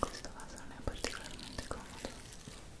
questo vaso non è particolarmente comodo Ecco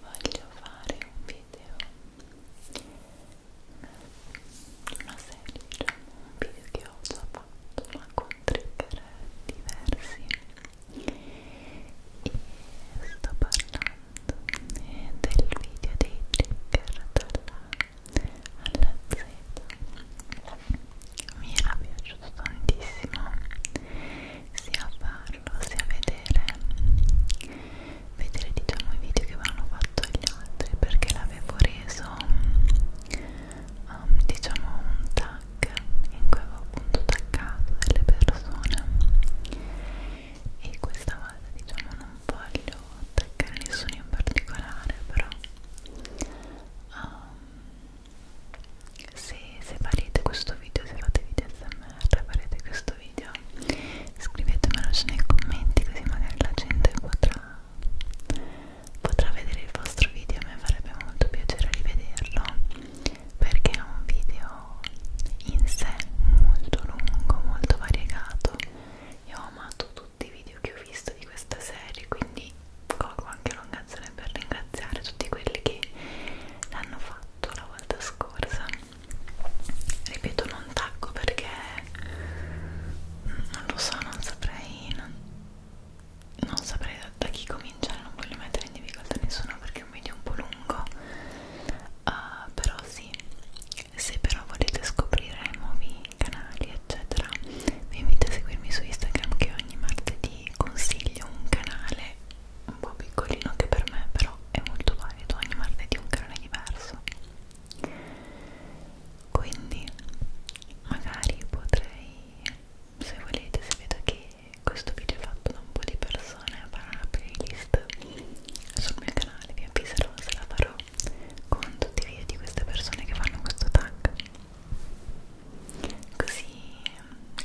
voglio fare un video una serie diciamo un video che ho già fatto ma con trigger diversi e sto parlando del video dei trigger dalla alla Z mi era piaciuto tantissimo sia farlo sia vedere vedere diciamo i video che avevano fatto gli altri perché l'avevo reso um, diciamo un tag in cui avevo appunto taggato delle persone e questa volta diciamo non voglio attaccare nessuno in particolare però um, se, se farete questo video, se fate video smr, farete questo video scrivetemelo nei commenti così magari la gente potrà, potrà vedere il vostro video a me farebbe molto piacere rivederlo perché è un video video in sé molto lungo, molto variegato io ho amato tutti i video che ho visto di questa serie quindi colgo anche l'occasione per ringraziare tutti quelli che l'hanno fatto la volta scorsa ripeto non tacco perché non lo so, non saprei non, non saprei da, da chi cominciare non voglio mettere in difficoltà nessuno perché è un video un po' lungo Uh, però sì, se però volete scoprire nuovi canali eccetera vi invito a seguirmi su Instagram che ogni martedì consiglio un canale un po' piccolino che per me però è molto valido ogni martedì un canale diverso quindi magari potrei se volete se vedo che questo video è fatto da un po' di persone persone farò una playlist sul mio canale, vi avviserò se la farò con tutti i video di queste persone che fanno questo tag così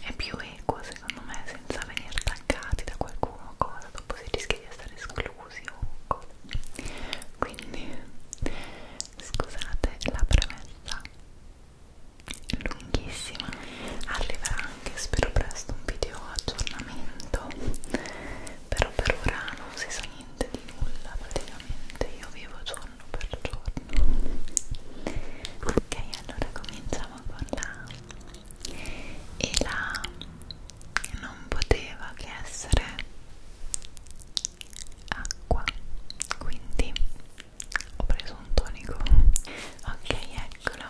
è più equo secondo me senza venire taggati da qualcuno o cosa dopo si rischia di essere esclusi o cosa quindi scusate la premessa lunghissima arriverà anche spero presto un video aggiornamento però per ora non si sa niente di nulla praticamente io vivo giorno per giorno ok allora cominciamo con la e la non poteva che essere acqua quindi ho preso un tonico ok eccolo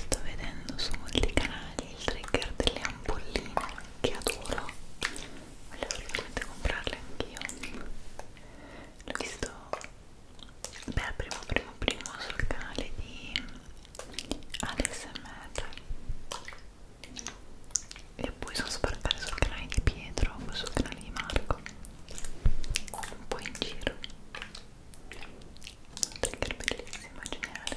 Sto vedendo su molti canali il trigger delle ampolline che adoro voglio assolutamente comprarle anch'io l'ho visto per primo primo primo sul canale di ASMR e poi sono sbarcata sul canale di Pietro poi sul canale di Marco un po' in giro trigger bellissima, geniale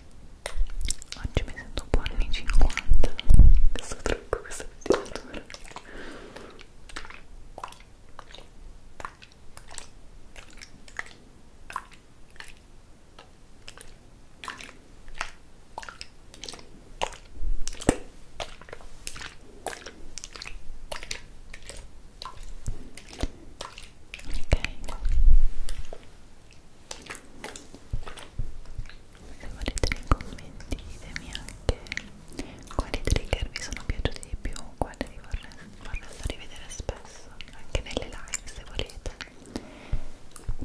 oggi mi sento un po' anni 50 questo trucco, questa pettinatura ok se volete nei commenti ditemi anche quali trigger vi sono piaciuti di più quali vi vorreste rivedere spesso anche nelle live se volete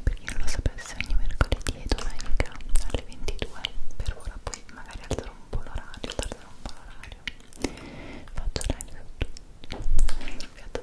per chi non lo sapesse ogni mercoledì e domenica alle 22 per ora poi magari alzerò un po' l'orario tarderò un po' l'orario faccio live su tutto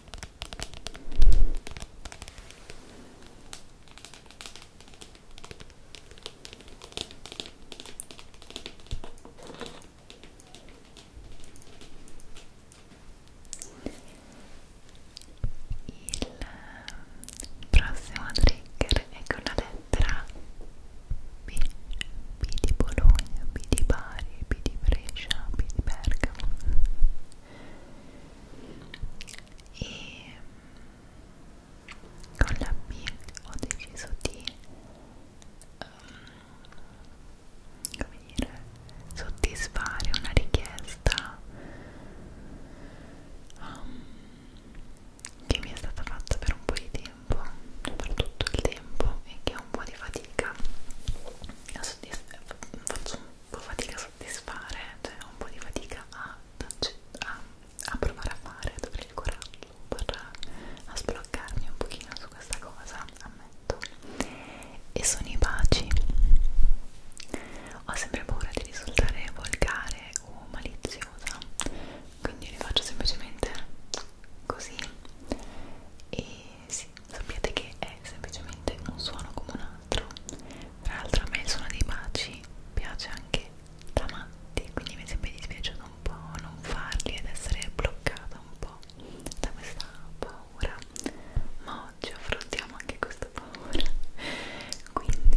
Il prossimo trigger è con la lettera B, B di Bologna, B di Bari, B di Brescia, B di Bergamo e con la B ho deciso di um, come dire, soddisfare una richiesta um, che mi è stata fatta per un po' di tempo, per tutto il tempo e che ho un po' di fatica a soddisfare faccio un un po' fatica a soddisfare, cioè ho un po' di fatica a, a, a provare a fare, ad avere il coraggio per a sbloccarmi un pochino su questa cosa, ammetto. E sono i baci. Ho sempre paura di risultare volgare o maliziosa, quindi li faccio semplicemente così e sì, sappiate che è semplicemente un suono come un altro tra l'altro a me il suono dei baci piace anche da matti quindi mi è sempre dispiaciuto un po' non farli ed essere bloccata un po' da questa paura ma oggi affrontiamo anche questa paura quindi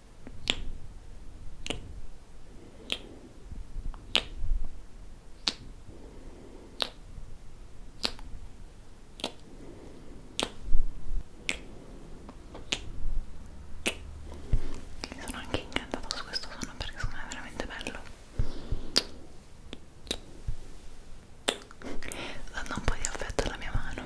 Sono anche incantata su questo suono perché secondo me è veramente bello. Dando un po' di affetto alla mia mano.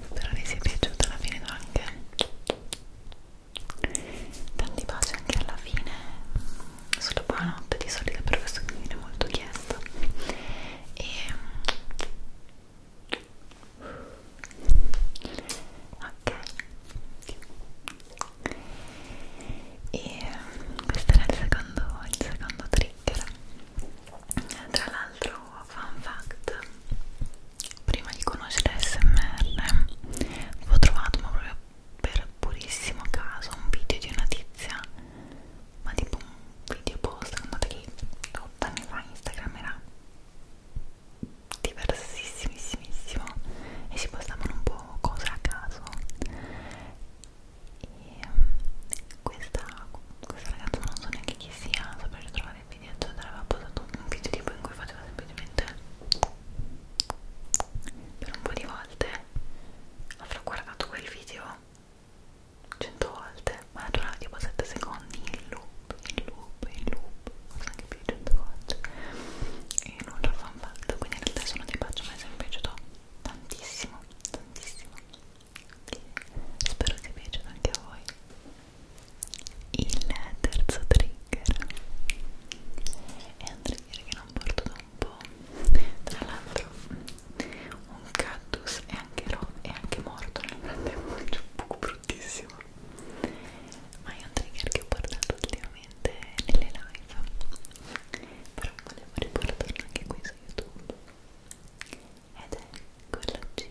spero vi sia piaciuta alla fine anche tanti baci anche alla fine sulla buonanotte di solito per questo che mi viene molto chiesto e ok e questo era il secondo, il secondo trigger tra l'altro, fun fact, prima di conoscere SMR avevo trovato, ma proprio per purissimo caso, un video di una tizia, ma tipo un video post che andate lì 8 anni fa Instagram era diversissimissimo e si postavano un po' cose a caso e mm, questa, questa ragazza non so neanche chi sia, saprei trovare il video eccetera, aveva posato un video tipo in cui faceva semplicemente per un po' di volte avrò guardato quel video 100 volte, ma durava tipo 7 secondi in loop, in loop, in loop, forse anche più di 100 volte e non l'ho fatto, quindi in realtà sono di pace, ma è sempre piaciuto tantissimo, tantissimo spero ti piacciono anche a voi il terzo trigger è un trigger che non porto da un po' tra l'altro un cactus è anche, è anche morto nel frattempo è un po' bruttissimo ma è un trigger che ho portato ultimamente nelle live però volevo riportarlo anche qui su youtube and then good luck to you.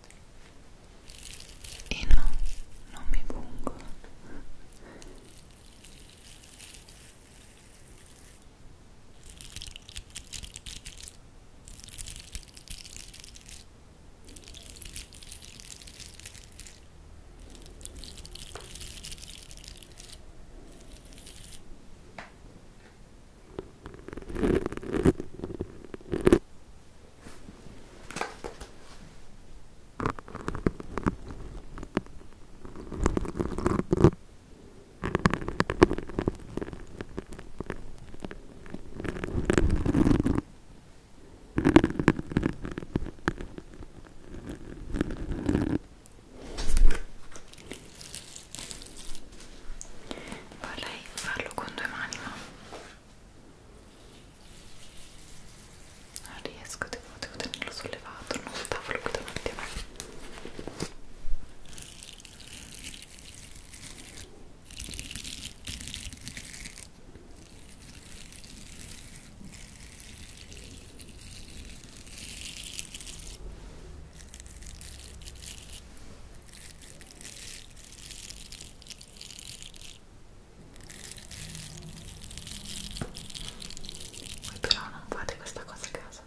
e no, non mi pungo Vorrei farlo con due mani, ma non ah, riesco, devo, devo tenerlo sollevato non sul tavolo qui davanti a me ok voi però non fate questa cosa a casa.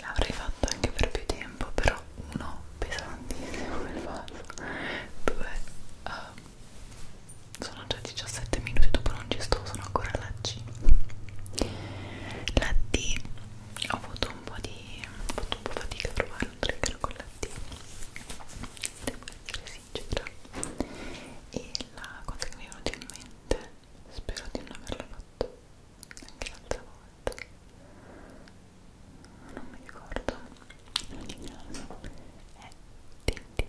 L'avrei fatto anche per più tempo, però uno pesantissimo il vaso due uh, sono già 17 minuti dopo non ci sto sono ancora alla C la D ho avuto un po' di ho fatto un po' fatica a trovare un trigger con la D devo essere sincera e la cosa che mi è venuta in mente spero di non averla fatta anche l'altra volta non mi ricordo in ogni caso è Tinti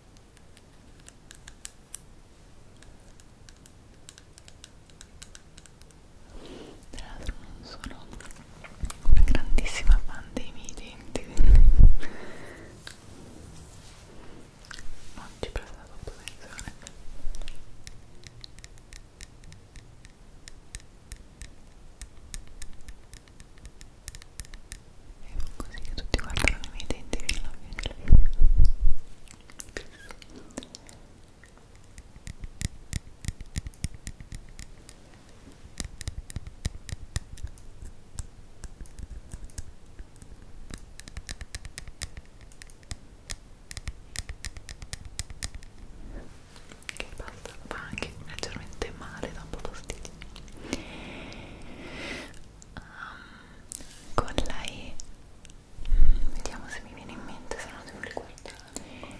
Tra l'altro non sono una grandissima fan dei miei denti Non ci presta troppo attenzione Ecco e fa così che tutti guardano i miei denti fino alla fine del video che basta, fa anche leggermente male, da un po' fastidio um, con lei mm, vediamo se mi viene in mente se no devo ricordarmi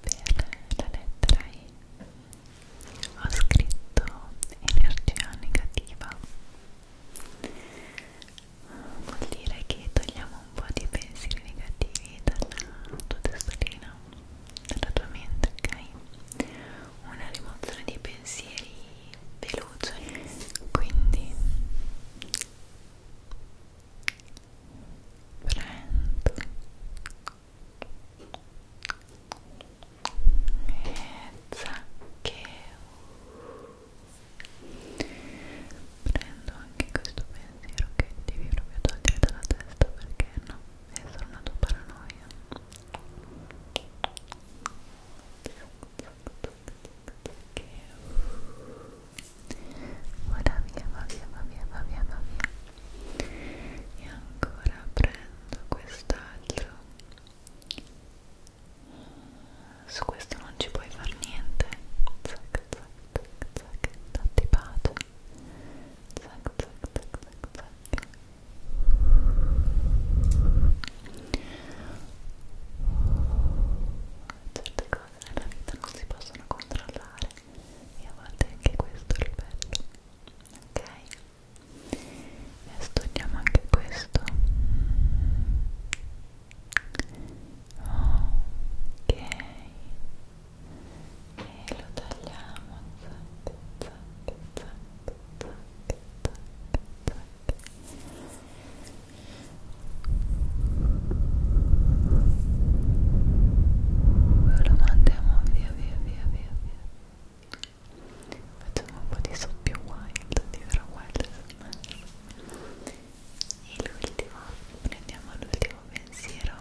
per la lettera I ho scritto energia negativa vuol dire che togliamo un po' di pensieri negativi dalla tua testolina dalla tua mente, ok? una rimozione di pensieri veloce quindi prendo e zaccheo prendo anche questo pensiero che devi proprio togliere dalla testa perché no, è solo una tua paranoia che ora via, va via, va via, va via, va via e ancora prendo quest'altro su questo non ci puoi far niente zac zac zac zac datti pace zac zac zac zac zac certe cose nella vita non si possono controllare e a volte anche questo è il bello ok e studiamo anche questo ok e lo tagliamo zac zac zac zac zac zac lo mandiamo via via via via via facciamo un po' di soppio wild di vera wild e l'ultimo prendiamo l'ultimo pensiero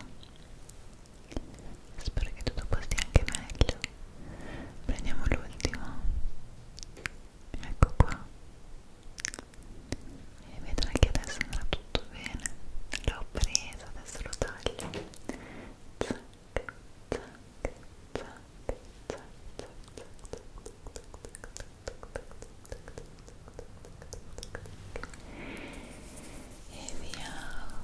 spero che tutto posti anche meglio prendiamo l'ultimo ecco qua e vedrai che adesso andrà tutto bene l'ho preso, adesso lo taglio zac, zac, zac, zac, zac, e via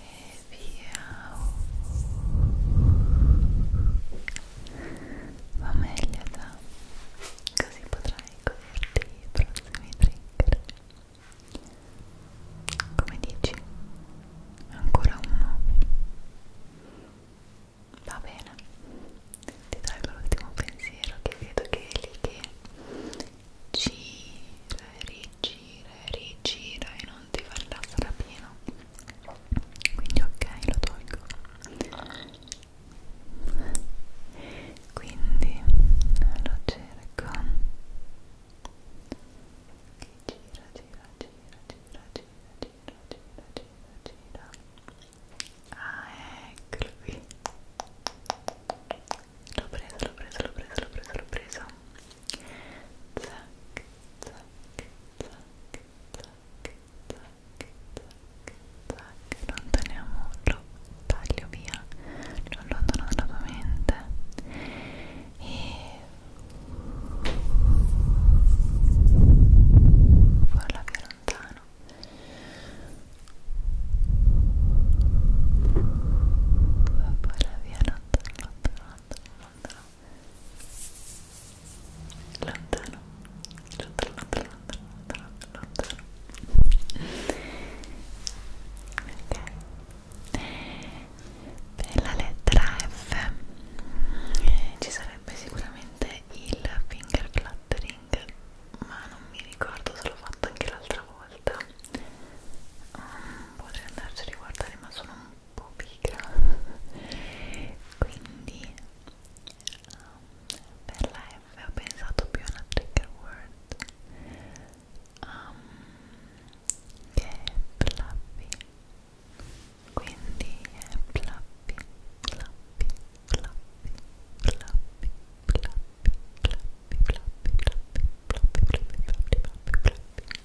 e via va meglio da così potrai goderti i prossimi trigger come dici? ancora uno? va bene ti do l'ultimo pensiero che vedo che è lì che Giri, rigira e rigira e non ti fa rilassare pieno quindi ok lo tolgo quindi lo cerco che gira gira gira gira gira gira gira gira gira ah eccolo qui l'ho preso l'ho preso l'ho preso l'ho preso l'ho preso zac, zac, zac, zac, zac, zac non teniamo, lo taglio via lo allontano dalla tua mente e farla più lontano farla via lontano, lontano, lontano, lontano lontano lontano lontano lontano lontano ok per la lettera F eh, ci sarebbe sicuramente il finger fluttering ma non mi ricordo se l'ho fatto anche l'altra volta um, mm, potrei andarci a riguardare ma sono un un po' pigra quindi um, per la F ho pensato più a una trigger word um, che è fluffy quindi è fluffy, fluffy, fluffy, fluffy, fluffy, fluffy, fluffy, fluffy, fluffy, fluffy, fluffy, fluffy, fluffy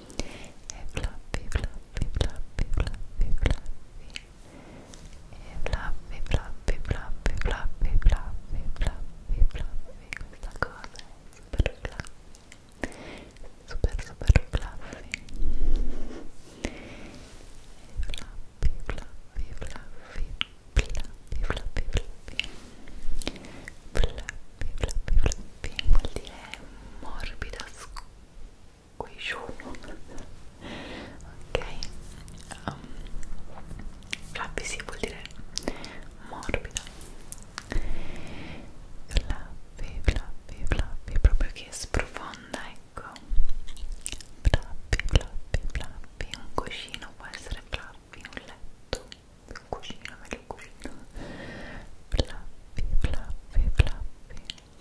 e fluffy, fluffy, fluffy, fluffy, fluffy e fluffy, fluffy, fluffy, fluffy, fluffy, fluffy, fluffy questa cosa è super fluffy super super fluffy e fluffy, fluffy, fluffy fluffy, fluffy, fluffy fluffy, fluffy, fluffy vuol dire morbido, quei giorno ok um, flabby si sì, vuol dire morbido flabby flabby flabby proprio che sprofonda ecco flabby flabby flabby un cuscino può essere flabby un letto un cuscino meglio un cuscino flabby flabby flabby G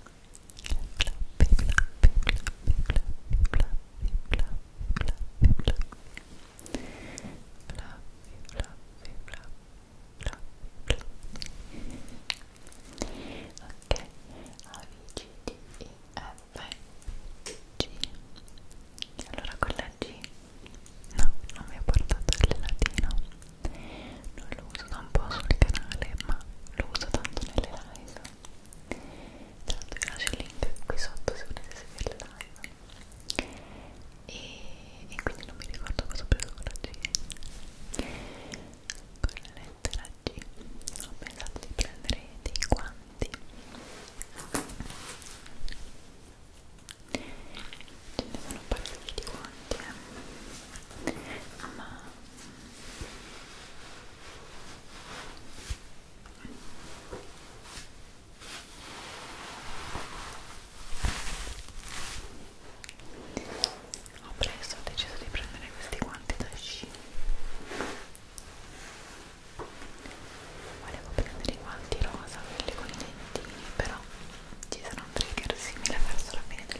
allora con la G no, non mi ha portato il latino non lo uso da un po' sul canale ma lo uso tanto nelle live tanto vi lascio il link qui sotto se volete seguire le live e, e quindi non mi ricordo cosa ho preso con la G con la lettera G ho pensato di prendere dei guanti ce ne sono parecchi di guanti eh ma ho preso, ho deciso di prendere questi guanti da sci volevo prendere i guanti rosa, quelli con i dentini però ci sarà un trigger simile verso la fine del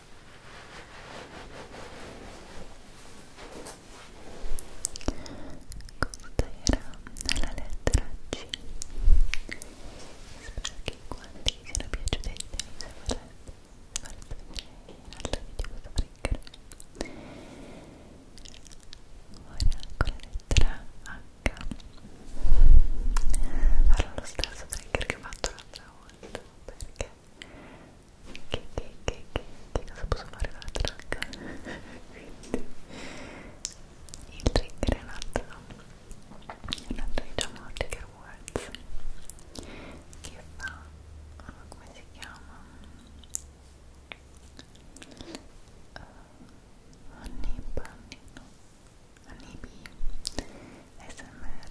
Questa era la lettera C. Spero che quanti vi siano piaciuti e se volete farete vedere in altri video questo trigger. Ora con la lettera H farò lo stesso trigger che ho fatto l'altra volta perché che, che, che, che, che cosa posso fare con la tracca? Quindi il trigger è un altro, un altro diciamo trigger words che fa, oh, come si chiama? Uh, eh, Anib, Anib, no, Anibi, SMR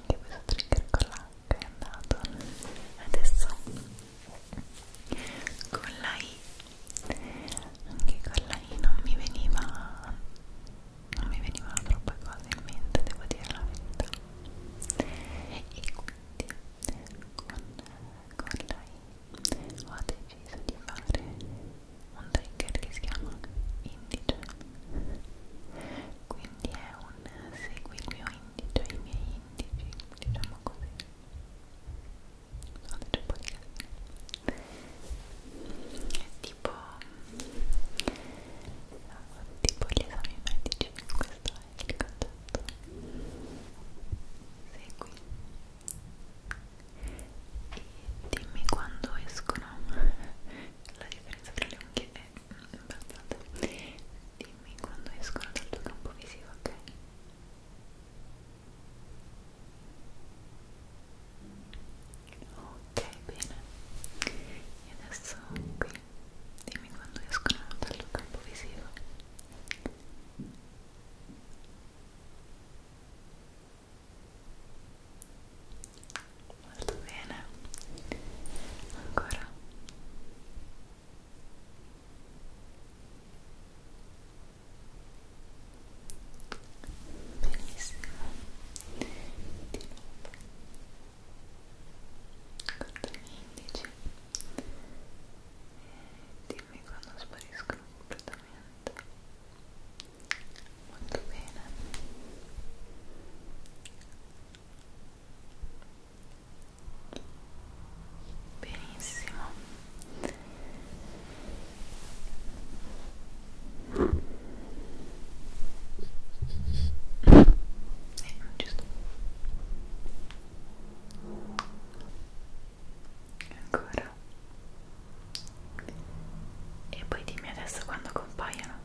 anche questo trigger con l'H è andato adesso con la I anche con la I non mi veniva non mi venivano troppe cose in mente devo dire la verità e quindi con, con la I ho deciso di fare un trigger che si chiama indice quindi è un segui il mio indice, i miei indici, diciamo così sono un po' di casino è tipo tipo gli esami medici questo è il concetto segui e dimmi quando escono la differenza tra le unghie è imbarazzante dimmi quando escono dal tuo campo visivo, ok? ok, bene e adesso qui dimmi quando escono dal tuo campo visivo molto bene ancora benissimo di nuovo con gli indici e dimmi quando spariscono completamente molto bene benissimo eh, giusto ancora e poi dimmi adesso quando compaiono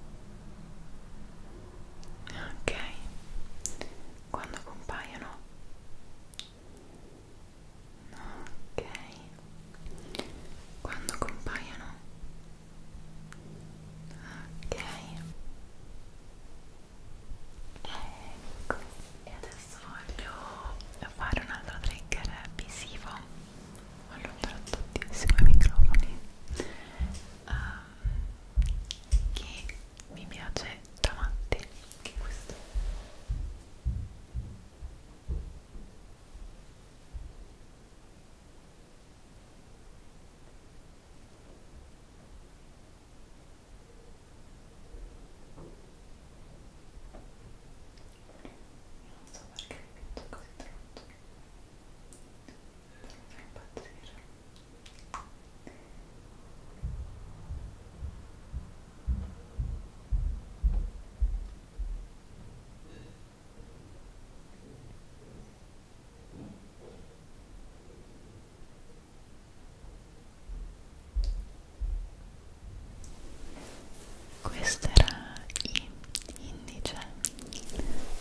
ok quando compaiono ok quando compaiono ok ecco e adesso voglio fare un altro trigger visivo allontano tantissimo i microfoni uh, che mi piace da matti che è questo non so perché mi piace così tanto Fai impazzire. Questo era I indice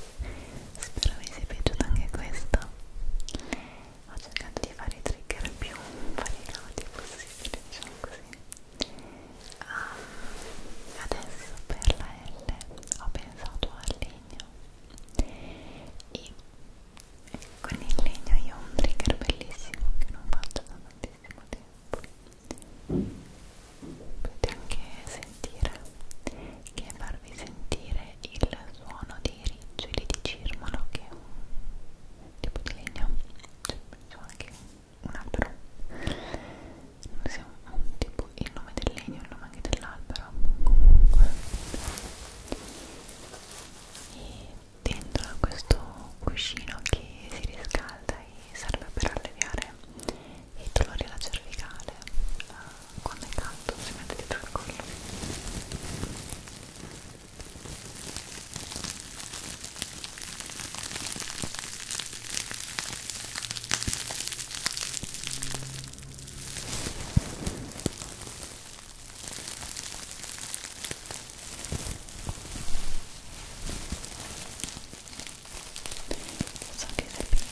spero vi sia piaciuto anche questo ho cercato di fare i trigger più variegati possibile diciamo così um, adesso per la L ho pensato al legno e con il legno io ho un trigger bellissimo che non faccio da tantissimo tempo potete anche sentire che farvi sentire il suono dei riccioli di cirmolo che è un tipo di legno cioè penso anche un albero non siamo un tipo il nome del legno il nome anche dell'albero comunque e dentro a questo cuscino che si riscalda e serve per alleviare e dolori alla cervicale eh, quando è caldo si mette dietro il collo so che se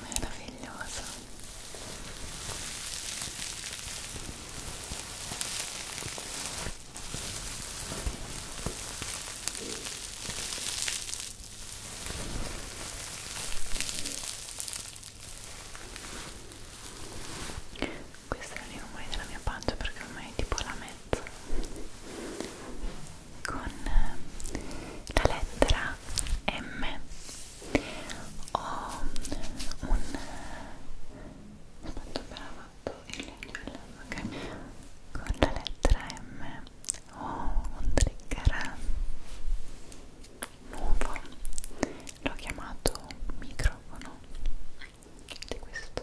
meraviglioso questi erano i rumori della mia pancia perché ormai è tipo la mezza con eh, la lettera M ho un aspetta appena fatto il legno ok con la lettera M ho un trigger nuovo l'ho chiamato microfono di questo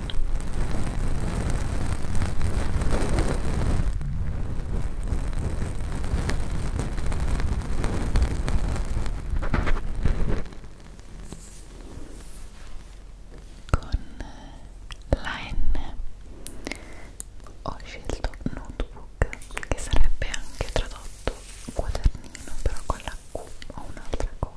con la N ho scelto notebook che sarebbe anche tradotto quadernino però con la Q o un'altra cosa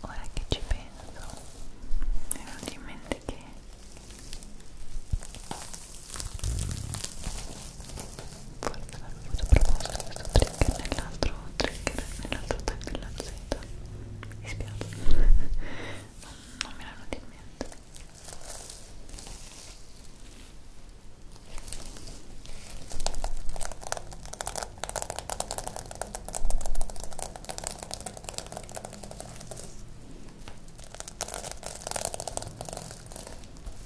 Ora che ci penso, mi è venuto in mente che forse l'avevo già proposto questo trigger nell'altro trigger nell'altro tag della Z mi spiace non, non me l'hanno in mente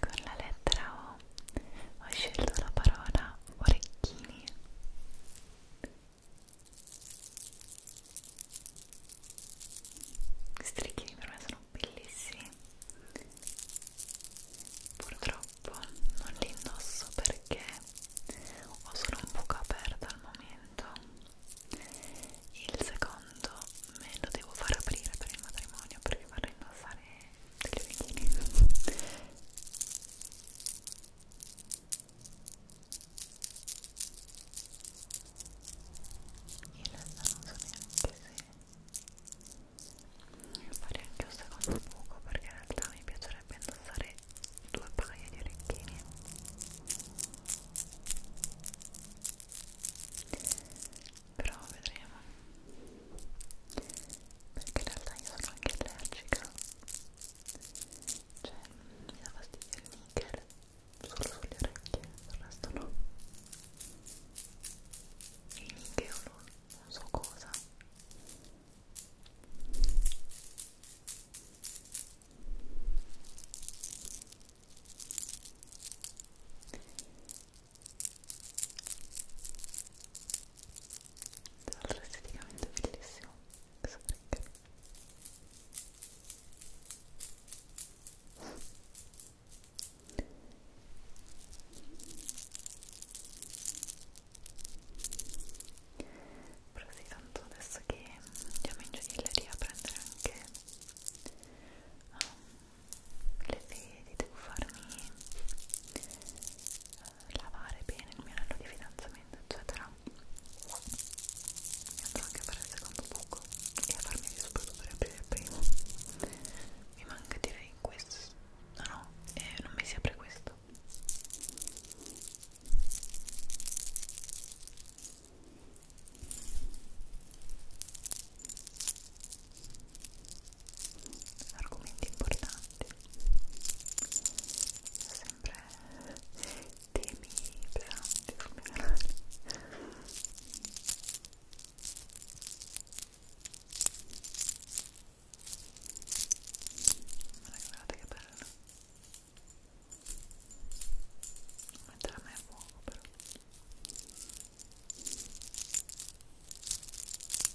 con la lettera O ho scelto la parola orecchini questi orecchini per me sono bellissimi purtroppo non li indosso perché ho solo un buco aperto al momento il secondo me lo devo far aprire per il matrimonio perché vorrei indossare delle veline in realtà non so neanche se fare anche un secondo buco perché in realtà mi piacerebbe indossare due paia di orecchini però vedremo perché in realtà io sono anche allergica cioè mi dà fastidio il nickel solo sulle orecchie, il resto no il nickel non, non so cosa tra l'altro esteticamente è bellissimo questo trigger però sì, tanto adesso che andiamo in giardiniera a prendere anche um, le vedi, devo farmi eh, lavare bene il mio anello di fidanzamento, eccetera. E andrò anche a fare il secondo buco e a farmi rispondere per il primo. Mi manca direi questo. No, no, eh, non mi si apre questo argomenti importanti sempre temi pesanti sul mio canale ma guardate che bello non metterà mai a fuoco però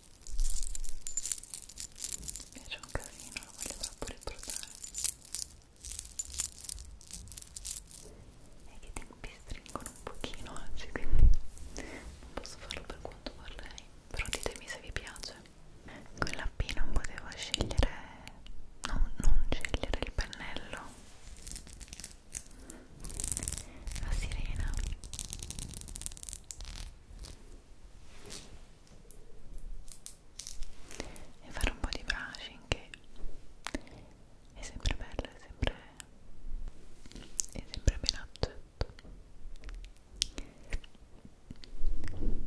Mi piace un casino, lo voglio troppo riportare. E che tempi stringono un pochino oggi, quindi non posso farlo per quanto vorrei. Però ditemi se vi piace. Con la P non potevo scegliere, no, non scegliere il pennello. La sirena e fare un po' di brushing che è sempre bello, è sempre, è sempre ben accetto Così.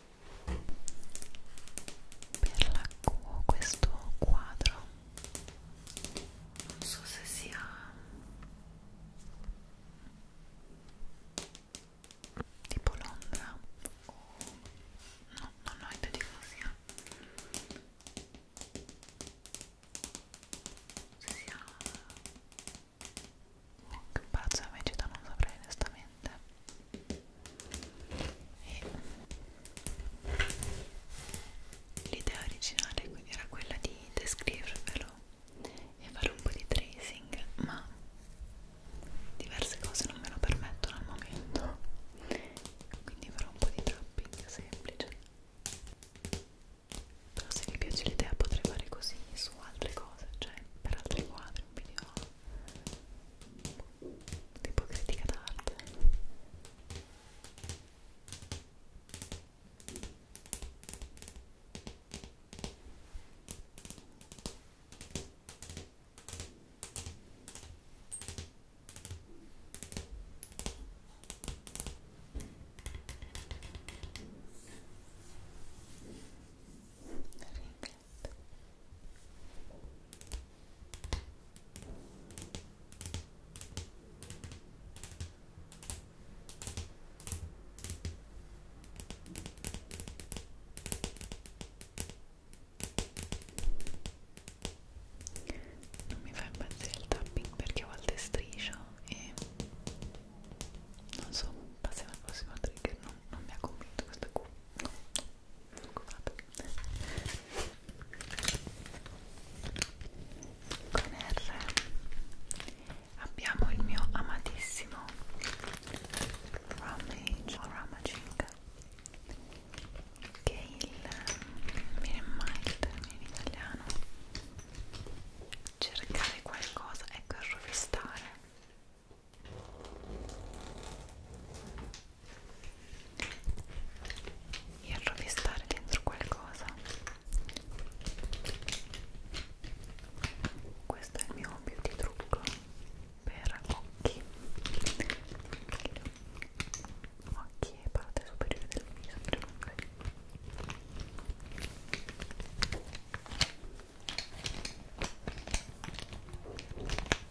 per la Q questo quadro non so se sia tipo Londra o no, non ho idea di cosa sia se sia oh, che palazzo è la città non saprei onestamente veramente e l'idea originale era quella di descrivervelo e fare un po' di tracing ma diverse cose non me lo permettono al momento quindi farò un po' di tapping semplice però se vi piace l'idea potrei fare così su altre cose cioè per altri quadri un video tipo critica d'arte perfetto non mi fa impazzire il tapping perché a volte striscio e non so, passiamo al prossimo trigger, non, non mi ha convinto questa qui, no, occupato con R abbiamo il mio amatissimo Ramage o Ramaging che è il viene mai il termine in italiano cercare qualcosa ecco il rovistare e rovistare dentro qualcosa questo è il mio beauty trucco per occhi occhi e parte superiore del viso ok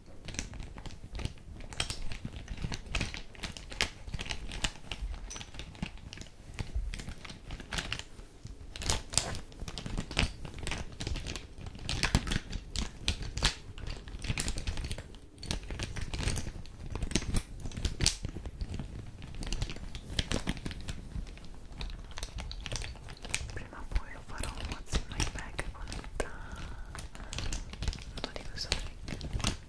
Prima o poi what's in my bag con il... non dico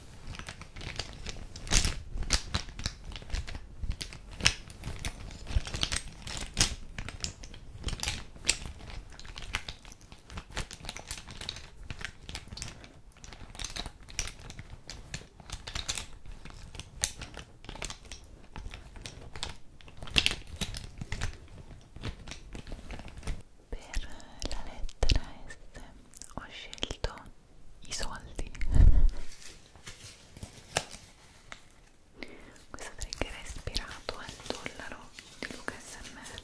Per la lettera S ho scelto i soldi questo trigger è ispirato al dollaro di Luca SMR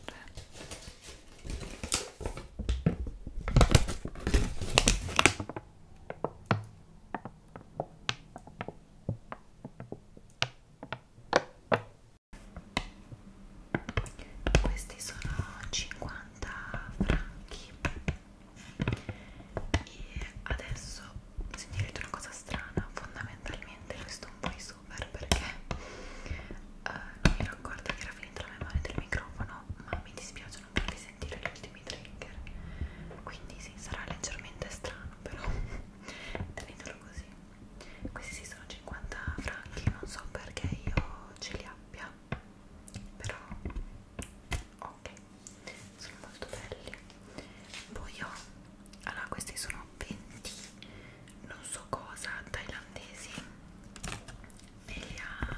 questi sono 50 franchi e adesso sentirete una cosa strana fondamentalmente questo è un voiceover perché uh, non mi ero accorta che era finita la memoria del microfono ma mi dispiace non farvi sentire gli ultimi trigger quindi sì, sarà leggermente strano però tenetelo così questi sì sono 50 franchi non so perché io ce li abbia però ok sono molto belli poi ho allora questi sono 20 non so cosa thailandesi me li ha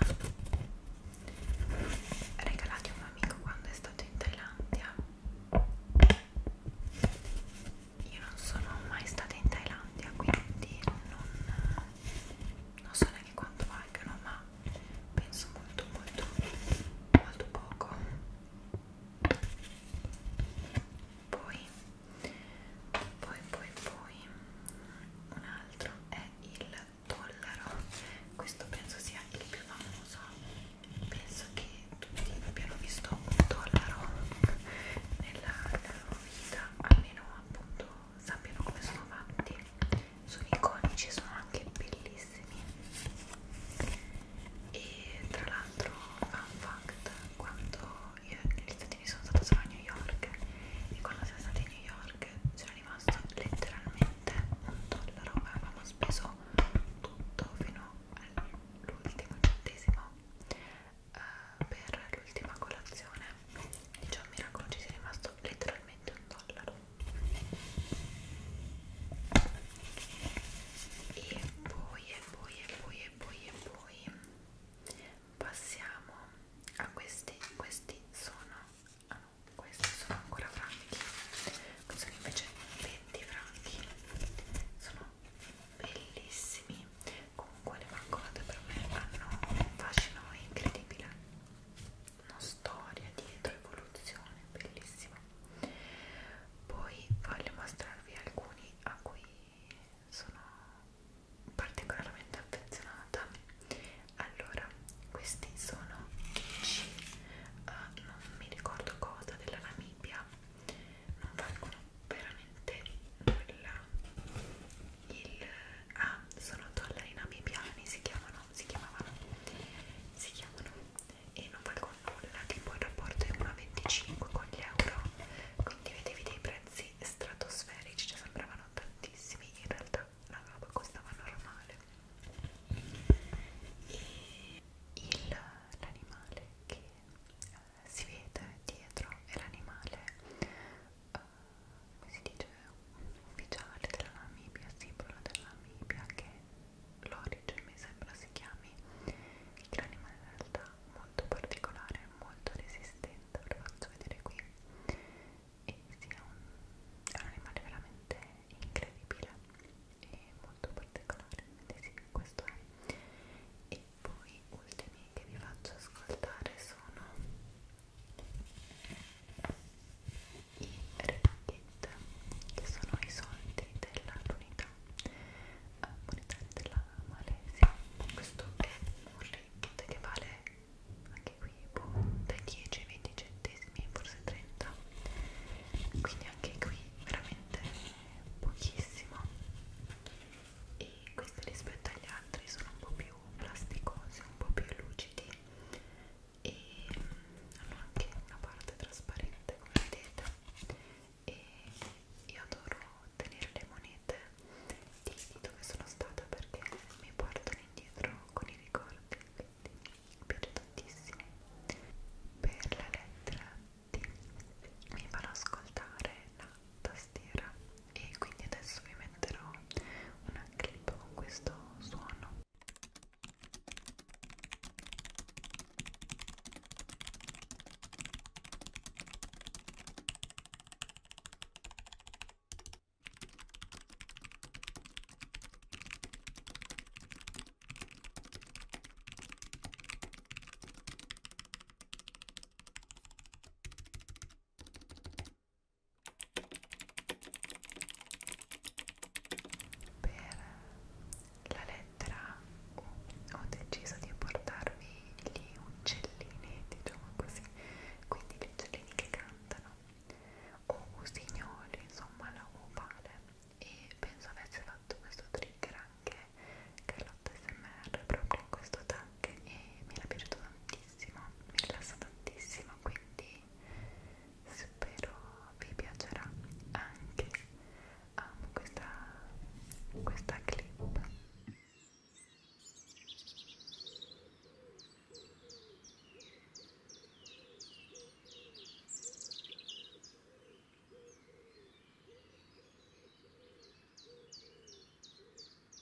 regalati un amico quando è stato in Thailandia io non sono mai stata in Thailandia quindi non non so neanche quanto valgano ma penso molto molto molto poco poi poi poi poi un altro è il dollaro questo penso sia il più famoso penso che tutti abbiano visto un dollaro nella loro vita almeno appunto sappiano come sono fatti sono iconici e sono anche bellissimi e tra l'altro fun fact quando io negli Stati Uniti sono stata solo a New York e quando siamo stati a New York c'era rimasto letteralmente un dollaro ma avevamo speso tutto fino all'ultimo centesimo eh, per l'ultima colazione dice diciamo, un miracolo ci sia rimasto letteralmente solamente un dollaro e poi e poi e poi e poi e poi passiamo a questi questi sono ah no, questi sono ancora franchi questi sono invece 20 franchi sono bellissimi comunque le banconote per me hanno un fascino incredibile una storia dietro, evoluzione, bellissima. Poi voglio mostrarvi alcuni a cui sono particolarmente affezionata. Allora, questi sono Kichi, uh, eh, non mi ricordo cosa, della Namibia, non valgono veramente nulla il ah, sono dollari namibiani si chiamano si chiamavano si chiamano e non valgono nulla tipo il rapporto è 1,25 con gli euro quindi vedevi dei prezzi stratosferici ci cioè sembravano tantissimi in realtà la roba costava normale e l'animale che eh, si vede dietro è l'animale eh, come si dice, ufficiale della Namibia, simbolo della Namibia, che l'origine mi sembra si chiami il granima in realtà molto particolare, molto resistente, ve lo faccio vedere qui e sì, è, un, è un animale veramente incredibile e molto particolare, quindi sì, questo è e poi ultimi che vi faccio ascoltare sono i ringgit che sono i soldi dell'unità eh, monetaria della Malesia questo è un ringgit che vale anche qui boh, dai 10 ai 20 centesimi forse 30 quindi anche qui veramente pochissimo e questi rispetto agli altri sono un po' più plasticosi un po' più lucidi e hanno anche una parte trasparente come vedete e io adoro tenere le monete di dove sono stata perché mi portano indietro con i ricordi quindi mi piace tantissimo per la lettera T mi farò ascoltare la tastiera e quindi adesso vi metterò una clip con questo suono per la lettera U ho deciso di portarvi gli uccellini, diciamo così, quindi gli uccellini che cantano, o usignoli, insomma la U vale, e penso avesse fatto questo trigger anche Carlotta SMR proprio in questo tag e mi era piaciuto tantissimo, mi rilassa tantissimo, quindi spero vi piacerà anche amo um, questa, questa clip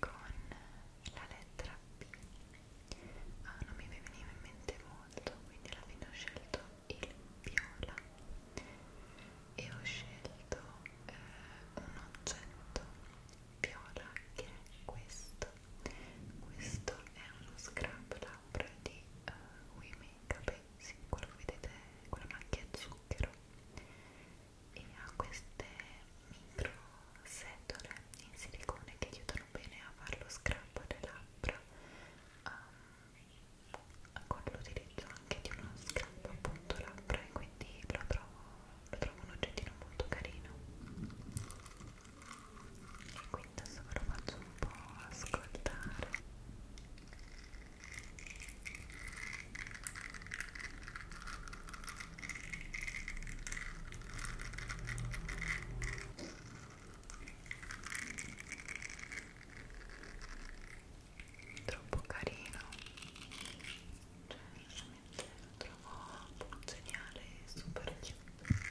con la lettera P ah, non mi veniva in mente molto quindi alla fine ho scelto il viola e ho scelto eh, un oggetto viola che è questo questo è uno scrub labbra di uh, We Makeup pensi, quello che vedete è quella macchia zucchero e ha queste micro setole in silicone che aiutano bene a fare lo scrub alle labbra um, con l'utilizzo anche di uno scrub appunto labbra e quindi lo trovo, lo trovo un oggettino molto carino e quindi adesso ve lo faccio un po' ascoltare troppo carino cioè veramente lo trovo geniale e super cute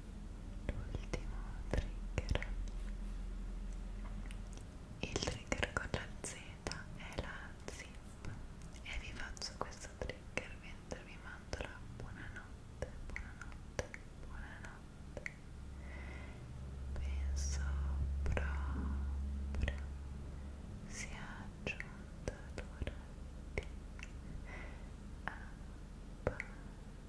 l'ultimo trigger il trigger con la Z è la zip e vi faccio questo trigger mentre vi mando la buonanotte buonanotte buonanotte penso proprio sia giunta l'ora di abbandonarvi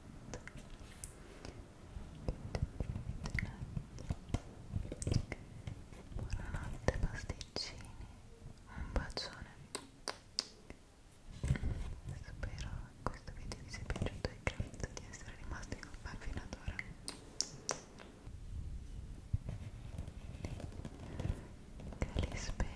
Buonanotte pasticcini, un bacione. Spero questo video vi sia piaciuto e grazie di essere rimasti con me fino ad ora. Calispera.